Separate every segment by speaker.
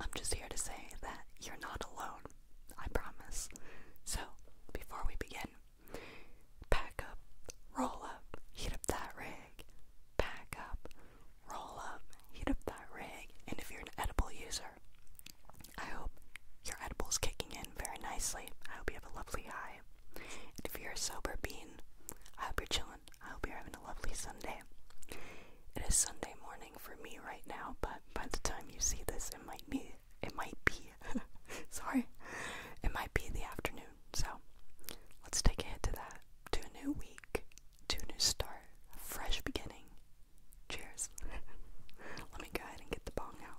Speaker 1: I'm just here to say that you're not alone. I promise. So, before we begin, pack up, roll up, heat up that rig. Pack up, roll up, heat up that rig. And if you're an edible user, I hope your edible's kicking in very nicely. I hope you have a lovely high. And if you're a sober bean, I hope you're chilling. I hope you're having a lovely Sunday. It is Sunday morning for me right now, but by the time you see this, it might be it might be sorry, it might be the afternoon. So let's take a hit to that. To a new week, to a new start, a fresh beginning. Cheers. Let me go ahead and get the bong out.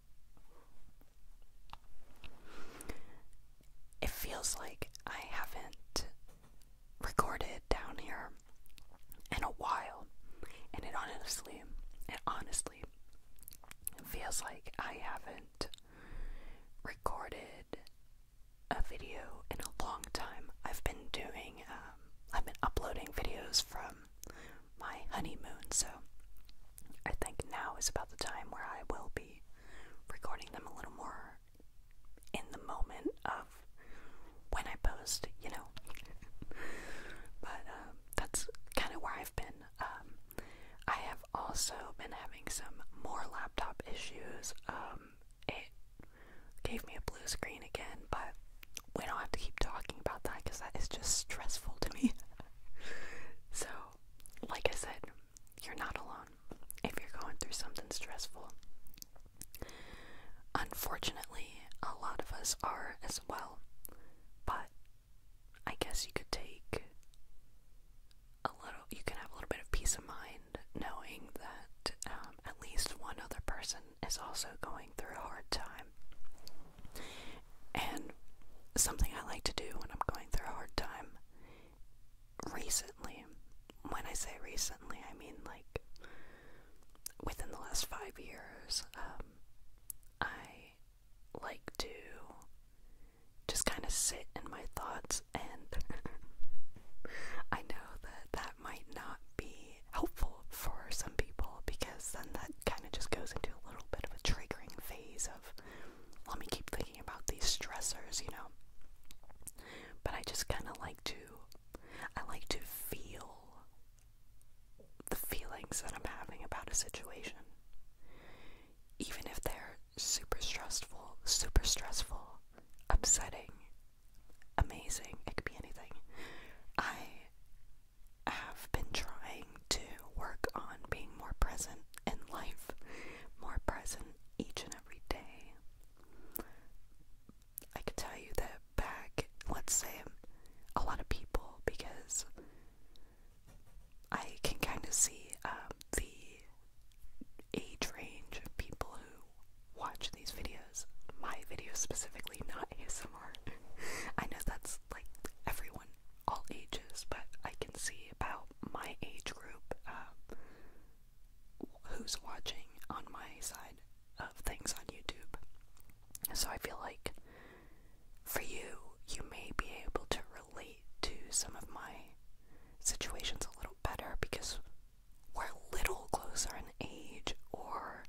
Speaker 1: It feels like I haven't recorded down here in a while, and it honestly, it honestly feels like I haven't recorded a video in a long time. I've been doing, um, I've been uploading videos from my honeymoon, so I think now is about the time where I will be recording them a little more in the moment of when I post, you know. but um, that's kind of where I've been. Um, I have also been having some more laptop issues. Um, it gave me a blue screen again, but we don't have to keep talking about that because that is just stressful to me. so, like I said, you're not alone if you're going through something stressful. Unfortunately, a lot of us are as well, but I guess you could take a little, you can have a little bit of peace of mind knowing that um, at least one other person is also going through a hard time. And something I like to do when I'm going through a hard time recently, when I say recently, I mean like within the last five years, um, I like to just kind of sit in my thoughts, and I know that that might not be helpful for some people because then that kind of just goes into a little bit of a triggering phase of let me keep thinking about these stressors, you know. But I just kind of like to I like to feel the feelings that I'm having about a situation. Even if they're super stressful, super stressful, upsetting, amazing, it could be anything. I have been trying to work on being more present in life, more present each and every day. I can tell you that back, let's say, a lot of people, because I can kind of see um, the age range of people who watch these videos, my videos specifically, not ASMR, I know that's like everyone, all ages, but I can see about my age group um, who's watching on my side of things on YouTube. So I feel like for you, you may be able to relate to some of my situations a little better because we're a little closer in age or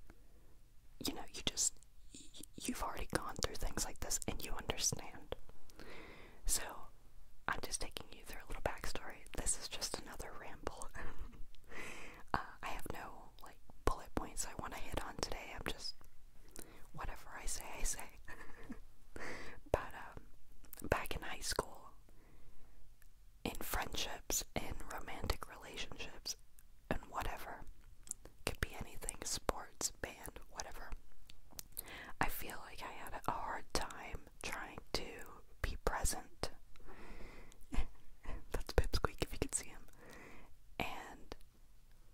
Speaker 1: you know, you just, you've already gone through things like this and you understand. So, I'm just taking you through a little backstory. This is just another ramble. Uh, I have no, like, bullet points I want to hit on today. I'm just, whatever I say, I say. but, um, back in high school, in friendships, in romantic relationships, and whatever. Could be anything, sports, band, whatever. I feel like I had a hard time trying to be present. That's Pipsqueak if you could see him. And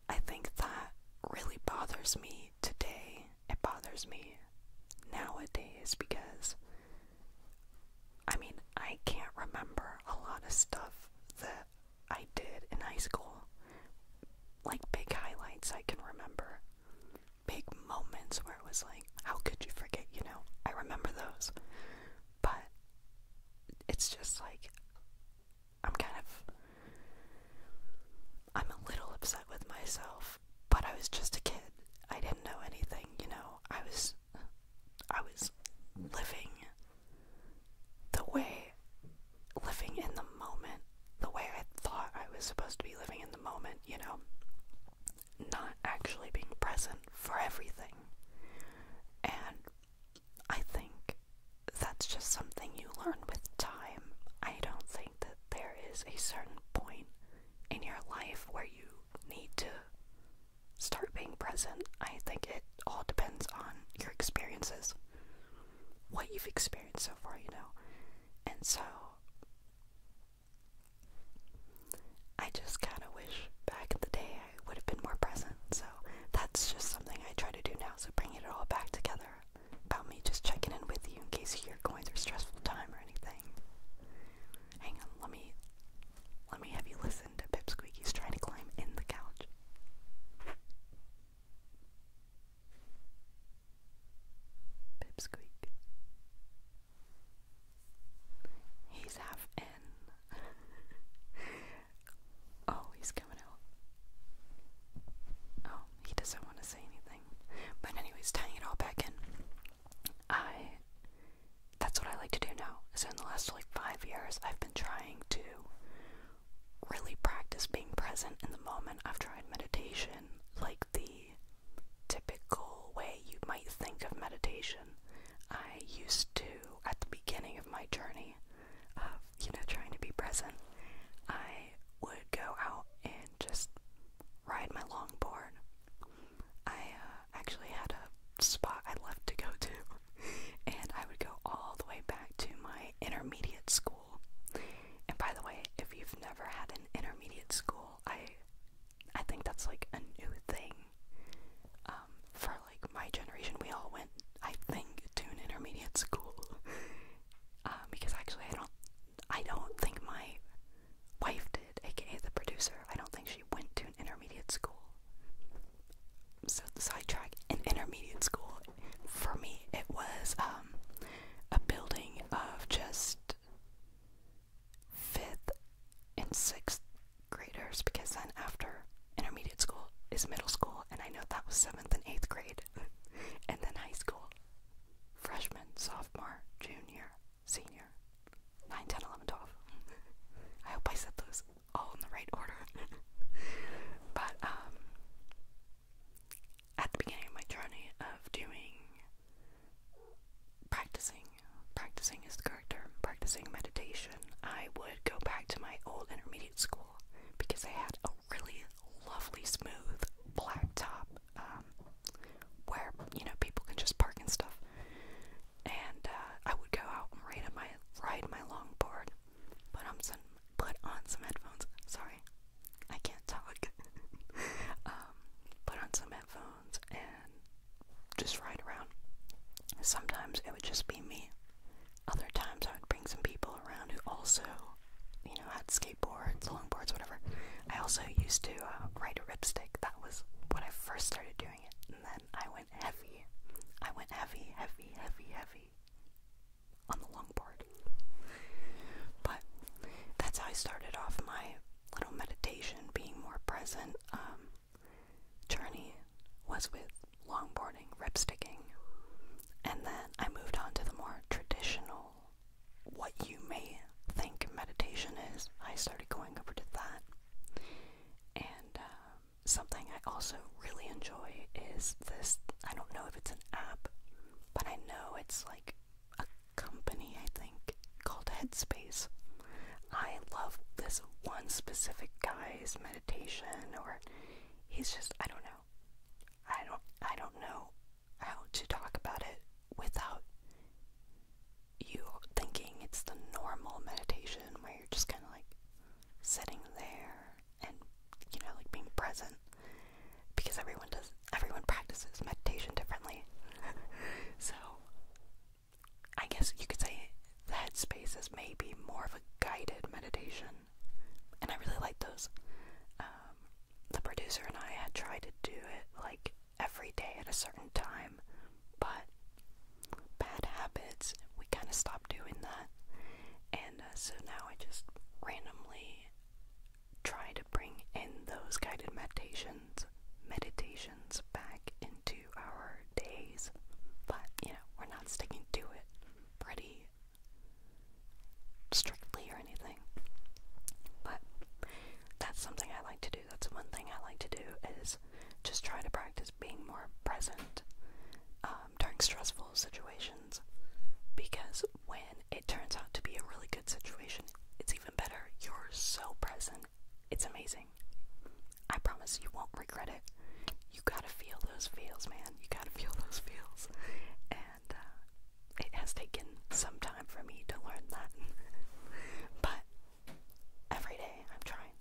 Speaker 1: I think that really bothers me today. It bothers me nowadays because I mean, I can't remember a lot of stuff that I did in high school. Like big highlights I can remember. Big moments where it was like, how could you forget, you know? I remember those. But it's just like, I'm kind of. I'm a little upset with myself, but I was just a kid. I didn't know anything, you know. I was I was living the way living in the moment, the way I thought I was supposed to be living in the moment, you know, not actually being present for everything. And I think that's just something you learn with time. I don't think that there is a certain point in your life where you need to start being present. I think it all depends on your experiences, what you've experienced so far, you know. And so, I just kind of wish back in the day I would have been more present. So, that's just something I try to do now. So, bringing it all back together about me just checking in with you in case you're going through stressful time or anything. Hang on, let me let me have you listen to Pip Squeaky's trying to climb in the couch. Pip Squeak. He's half in. oh, he's coming out. Oh, he doesn't want to say anything. But anyways, tying it all back in. I that's what I like to do now. So in the last like five years, I've been trying to really practice being present in the moment. I've tried meditation, like the typical way you might think of meditation. I used to, at the beginning of my journey of, you know, trying to be present, I would go out and just ride my longboard I uh, actually had a spot I loved to go to, and I would go all the way back to my intermediate school. And by the way, if you've never had an intermediate school, I I think that's like a new thing. Um, for like my generation, we all went, I think, to an intermediate school. Um, because actually, I don't, I don't think my wife did, aka the producer. I don't think she went to an intermediate school. So the sidetrack An intermediate school for me it was um a building of just fifth and sixth graders because then after intermediate school is middle school and I know that was seventh and eighth grade and then high school. Freshman, sophomore, junior, senior, 9, 10, 11, 12. I hope I said those all in the right order. but um, at the beginning of my journey of doing practicing, practicing is the correct term, practicing meditation, I would go back to my old intermediate school because I had a really lovely, smooth blacktop um, where you know people can just park and stuff. And uh, I would go out and ride on my ride my longboard, put on some put on some headphones. Sorry, I can't talk. um, put on some headphones and just ride around. Sometimes it would just be me. Other times I would bring some people around who also, you know, had skateboards, longboards, whatever. I also used to uh, ride a ripstay. That was when I first started doing it, and then I went heavy. I went heavy, heavy, heavy, heavy on the longboard. But that's how I started off my little meditation, being more present um, journey was with longboarding, rip sticking, and then I moved on to the more traditional, what you may think meditation is, I started going over to that. And uh, something I also really enjoy is this I don't know if it's an app, but I know it's like a company, I think, called Headspace. I love this one specific guy's meditation or he's just I don't know. I don't I don't know how to talk about it without you thinking it's the normal meditation where you're just kind of like sitting there and you know like being present because everyone does everyone practices meditation differently so i guess you could say the headspace is maybe more of a guided meditation and i really like those um, the producer and i had tried to do it like every day at a certain time, but bad habits, we kind of stop doing that. And uh, so now I just randomly try to bring in those guided meditations, meditations back into our days, but you know, we're not sticking to it pretty strictly or anything. But that's something I like to do do. That's one thing I like to do is just try to practice being more present um, during stressful situations because when it turns out to be a really good situation, it's even better. You're so present. It's amazing. I promise you won't regret it. You gotta feel those feels, man. You gotta feel those feels. And uh, it has taken some time for me to learn that. but every day I'm trying.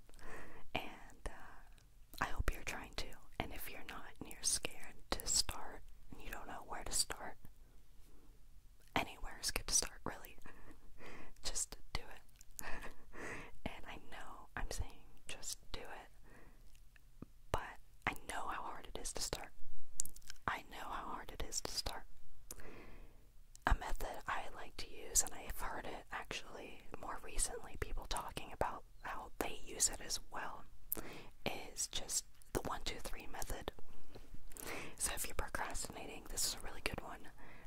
Speaker 1: And uh, I hope you're trying too. And if you're not and you're scared to start and you don't know where to start, anywhere is good to start, really. just do it. and I know I'm saying just do it, but I know how hard it is to start. I I know how hard it is to start. A method I like to use, and I've heard it actually more recently, people talking about how they use it as well, is just the 1 2 3 method. So if you're procrastinating, this is a really good one.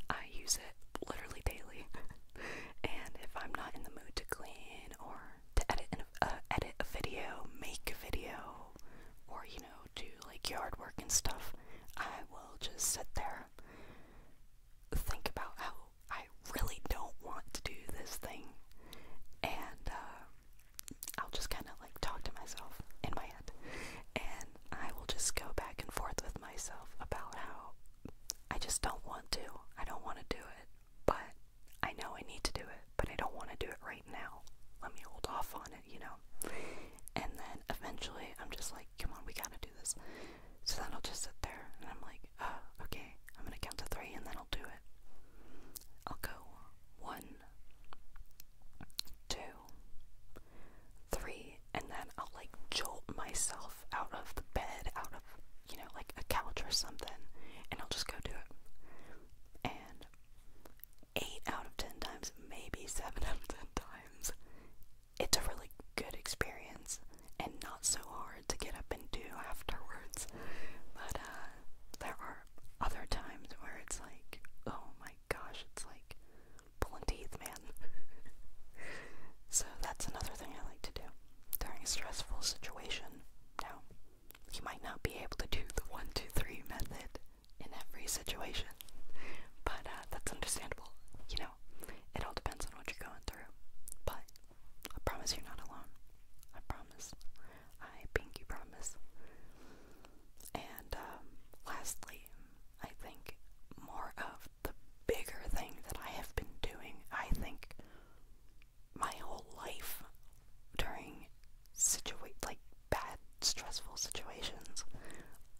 Speaker 1: I use it literally daily. and if I'm not in the mood to clean or to edit, an, uh, edit a video, make a video, or you know, do like yard work and stuff, I will just sit there, think about how I really don't want to do this thing, and uh, I'll just kind of like talk to myself in my head, and I will just go back and forth with myself about how I just don't want to, I don't want to do it, but I know I need to do but I don't want to do it right now. Let me hold off on it, you know? And then eventually I'm just like, come on, we gotta do this. So then I'll just sit there and I'm like, oh, okay, I'm gonna count to three and then I'll do it. I'll go one, two, three, and then I'll like jolt myself out of the bed, out of, you know, like a couch or something, and I'll just go do it. And 8 out of 10 times, maybe 7 out of 10 times. It's a really good experience and not so hard to get up and do afterwards. But uh, there are other times where it's like, oh my gosh, it's like pulling teeth, man. so that's another thing I like to do during a stressful situation. Now, you might not be able to do the 1, 2, 3 method in every situation, but uh, that's understandable. You know, it all depends on what you're going through. But I promise you're not alone. I promise. I pinky promise. And um, lastly, I think more of the bigger thing that I have been doing, I think my whole life during situations like bad stressful situations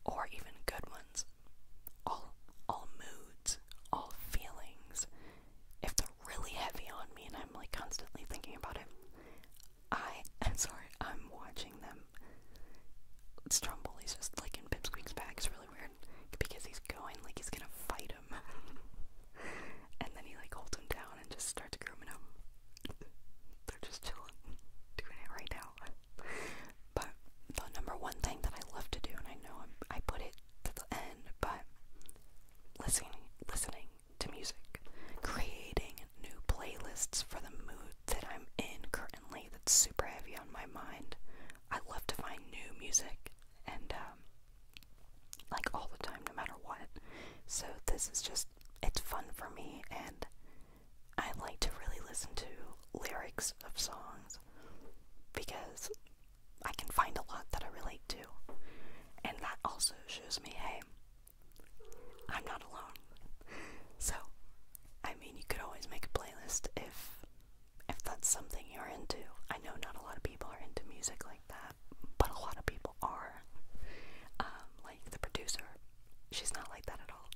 Speaker 1: or even good ones all all moods all feelings if they're really heavy on me and i'm like constantly thinking about it i am sorry i'm watching them he's just like in Pipsqueak's bag. It's really weird because he's going like he's gonna fight him and then he like holds him down and just starts grooming him. They're just chilling, doing it right now. But the number one thing that I love to do, and I know i put it to the end, but listening, listening to music, creating new playlists for the mood that I'm in currently. That's super heavy on my mind. I love to find new music, and um, like all the time, no matter what. So this is just, it's fun for me, and I like to really listen to lyrics of songs because I can find a lot that I relate to. And that also shows me, hey, I'm not alone. So, I mean, you could always make a playlist if if that's something you're into. I know not a lot of people are into music like that but a lot of people are. Um, like the producer, she's not like that at all.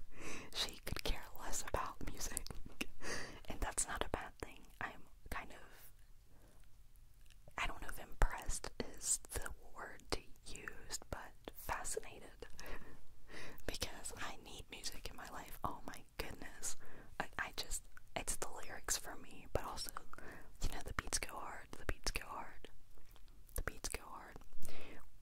Speaker 1: she could care less about music, and that's not a bad thing. I'm kind of, I don't know if impressed is the word to use, but fascinated because I need music in my life. Oh my goodness. I, just, it's the lyrics for me, but also, you know, the beats go hard, the beats go hard, the beats go hard.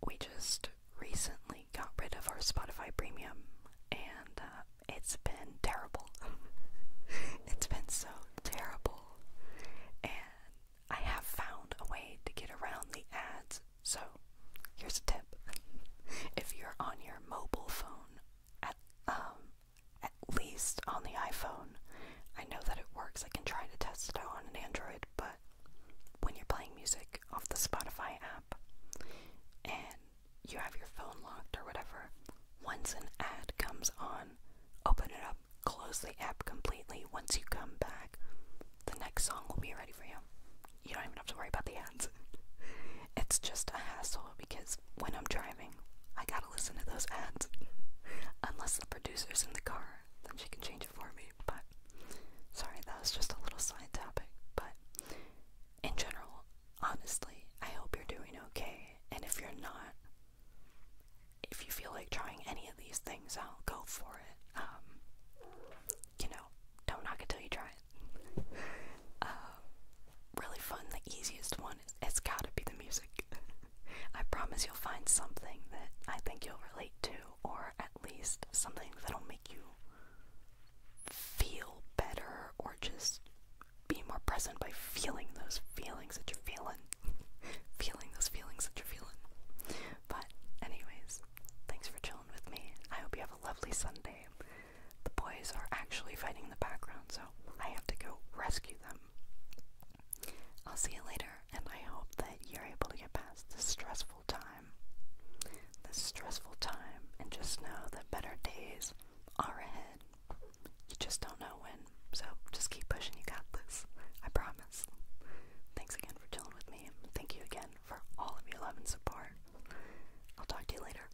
Speaker 1: We just recently got rid of our Spotify premium, and uh, it's been terrible. it's been so terrible. And I have found a way to get around the ads, so here's a tip. if you're on your mobile phone at um at least on the iPhone. I know that it works. I can try to test it on an Android, but when you're playing music off the Spotify app and you have your phone locked or whatever, once an ad comes on, open it up, close the app completely. Once you come back, the next song will be ready for you. You don't even have to worry about the ads. it's just a hassle because when I'm driving, I got gotta listen to those ads. Unless the producer's in the car, then she can change it for me. But sorry, that was just a little side topic. But in general, honestly, I hope you're doing okay. And if you're not, if you feel like trying any of these things out, go for it. Um, you know, don't knock it till you try it. Uh, really fun. The easiest one is it's gotta be the music. I promise you'll find something that I think you'll relate to, or at least something that'll make you feel better or just be more present by feeling those feelings that you're feeling. feeling those feelings that you're feeling. But, anyways, thanks for chilling with me. I hope you have a lovely Sunday the boys are actually fighting in the background, so I have to go rescue them. I'll see you later, and I hope that you're able to get past this stressful time. This stressful time, and just know that better days are ahead. You just don't know when, so just keep pushing, you got this. I promise. Thanks again for chilling with me. Thank you again for all of your love and support. I'll talk to you later.